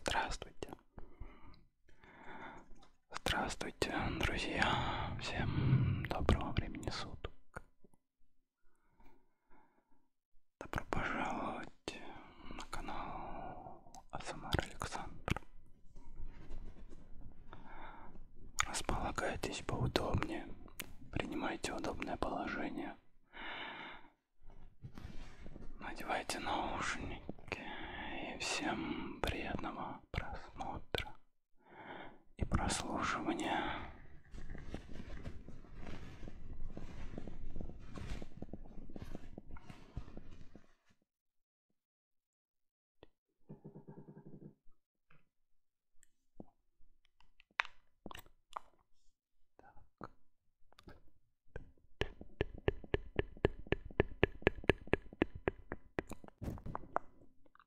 Здравствуйте. Здравствуйте, друзья. Всем доброго времени суток. Добро пожаловать на канал Асмар Александр. Располагайтесь поудобнее, принимайте удобное положение. Надевайте наушники и всем приятного просмотра и прослушивания. Так.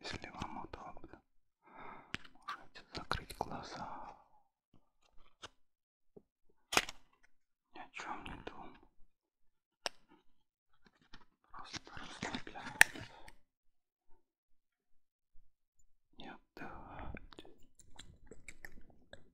Если вам удобно, можете закрыть глаза. Ни о чем не думаю. Просто расслабляйтесь. Не отдавайте.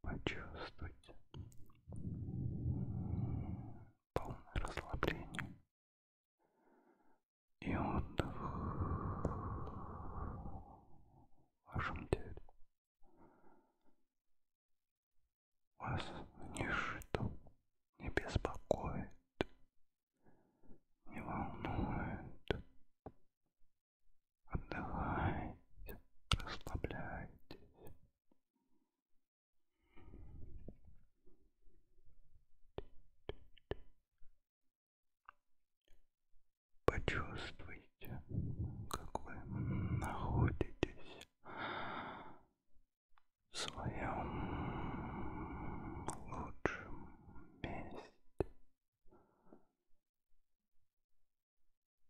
Почувствуйте полное расслабление и отдых в вашем теле. Вас ничто не беспокоит, не волнует, Отдыхайте, расслабляйтесь. Почувствуйте, как вы находитесь в своем лучшем месте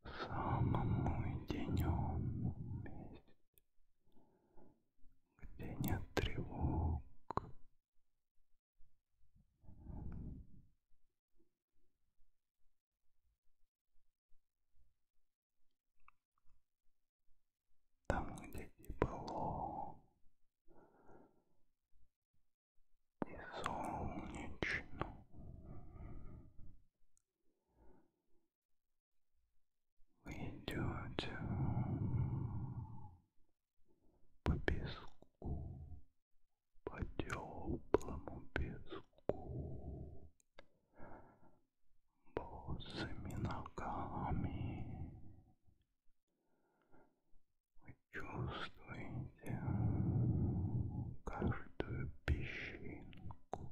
самому единенному месте, где нет тревог, там, где тепло, і сонячно. Ви йдете по піску, по теплому піску, босыми ногами. Почувствуйте каждую песчинку,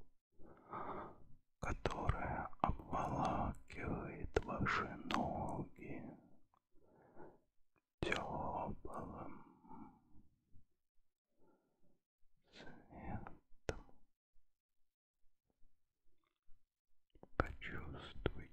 которая обволакивает ваши ноги теплым светом. Почувствуйте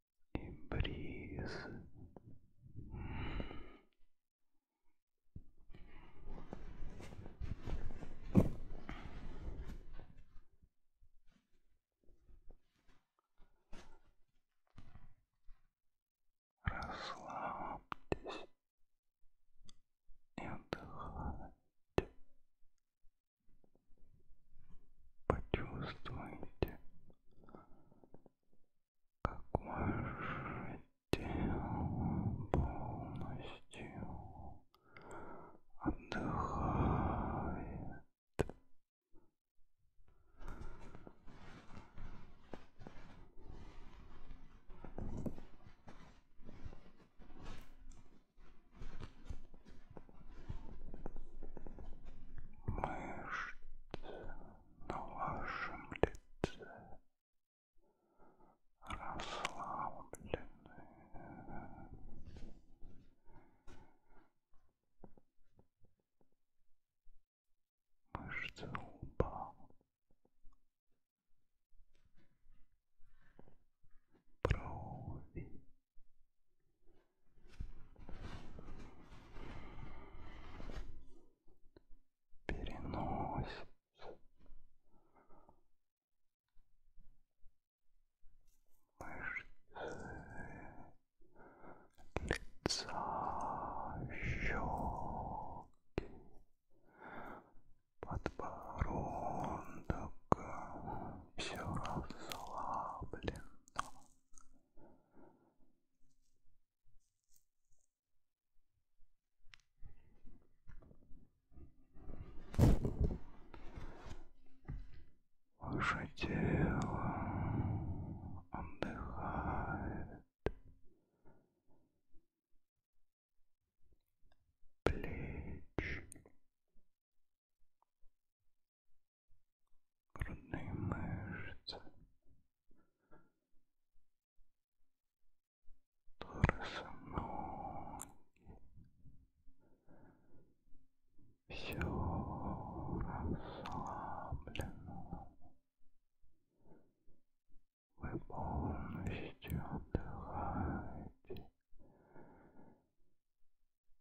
и бриз. Расслабьтесь и отдыхайте. Почувствуйте какое же тело полностью отдыхает мышц на вашем лице расслаблены. Мышцы лба брови переносит. Мышцы лица, щеки, подбородок, все расслаблено, Ваше тело отдыхает. Плечи, грудные мышцы, торсы, ноги, все расслаблено. Вы полностью отдыхаете.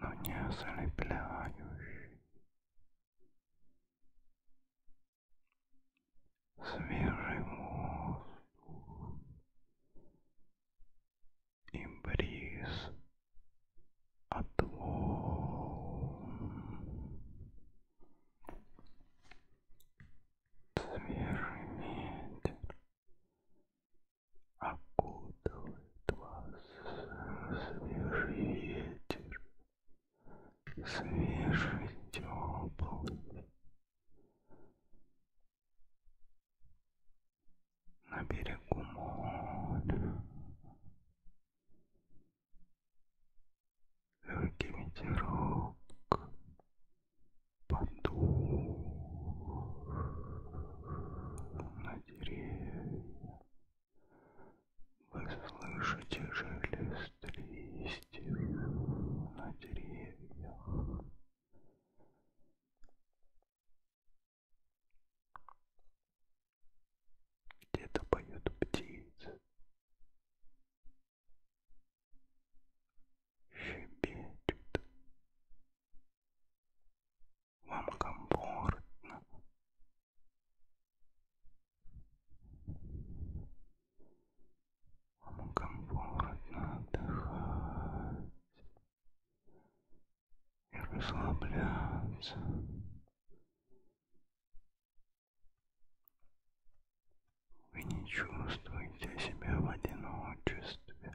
но не ослепляющий. Свежий воздух и бриз от волн. Свежий ветер окутывает а вас свежий ветер, свежий теплый. На берегу моря легкий ветерок подул на деревья. Вы слышите шелест листьев на деревьях. Где-то поют птицы. Щебечут вам комфортно. Вам комфортно отдыхать и расслабляться. Вы не чувствуете себя в одиночестве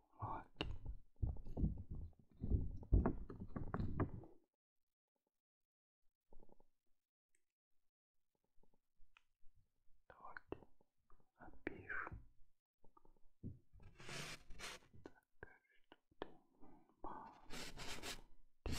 бумаги. Давайте напишем. Так, что ты не надо. Что-нибудь.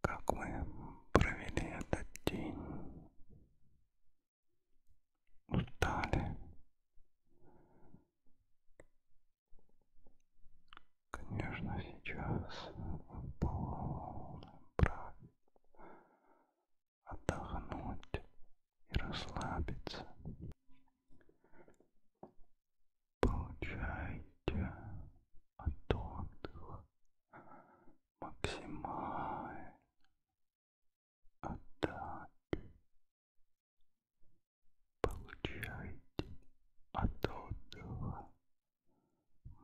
Как мы провели этот день? Устали. Конечно, сейчас полный брак отдохнуть и расслабиться. Получайте от отдыха максимально отдачи. Получайте от отдыха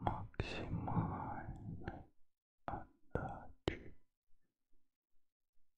максимальной отдачи.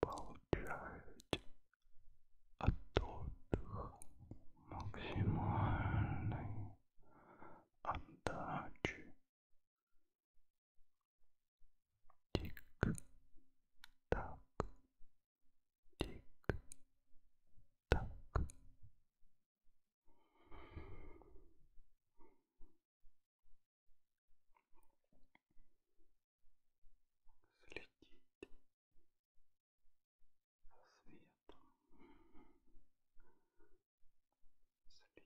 Получаете от отдыха максимальной отдачи Тик-так, тик-так. Следить за светом следите за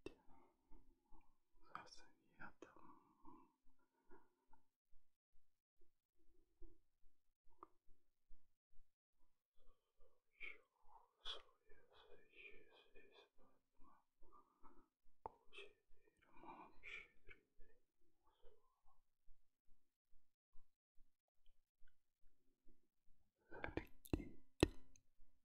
светом. Чувствуя здесь подмогу четырьмущий Залетите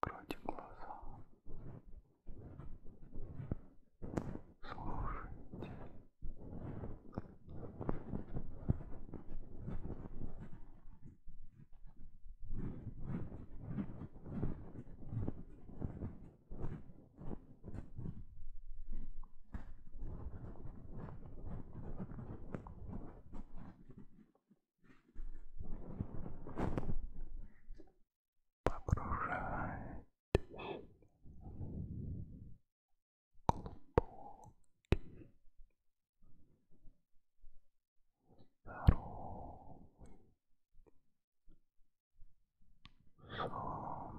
Закройте глаза. Слушайте. Погружайтесь в глубокий, здоровый сон.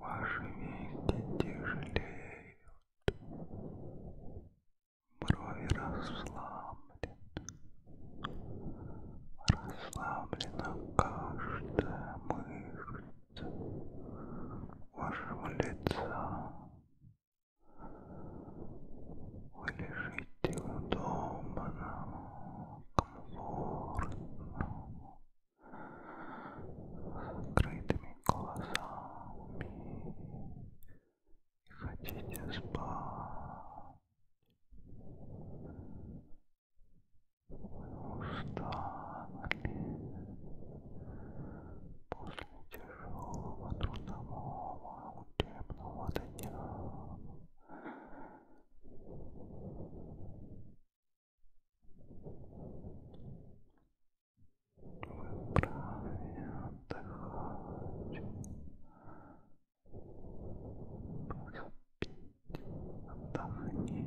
Ваши веки тяжелеют, брови расслаблены, расслаблена каждая мышца вашего лица. Вы лежите удобно, комфортно, с закрытыми глазами и хотите спать. Вы устали после тяжелого трудового у темного дня. Вы вправе отдыхать, поспите, отдохните.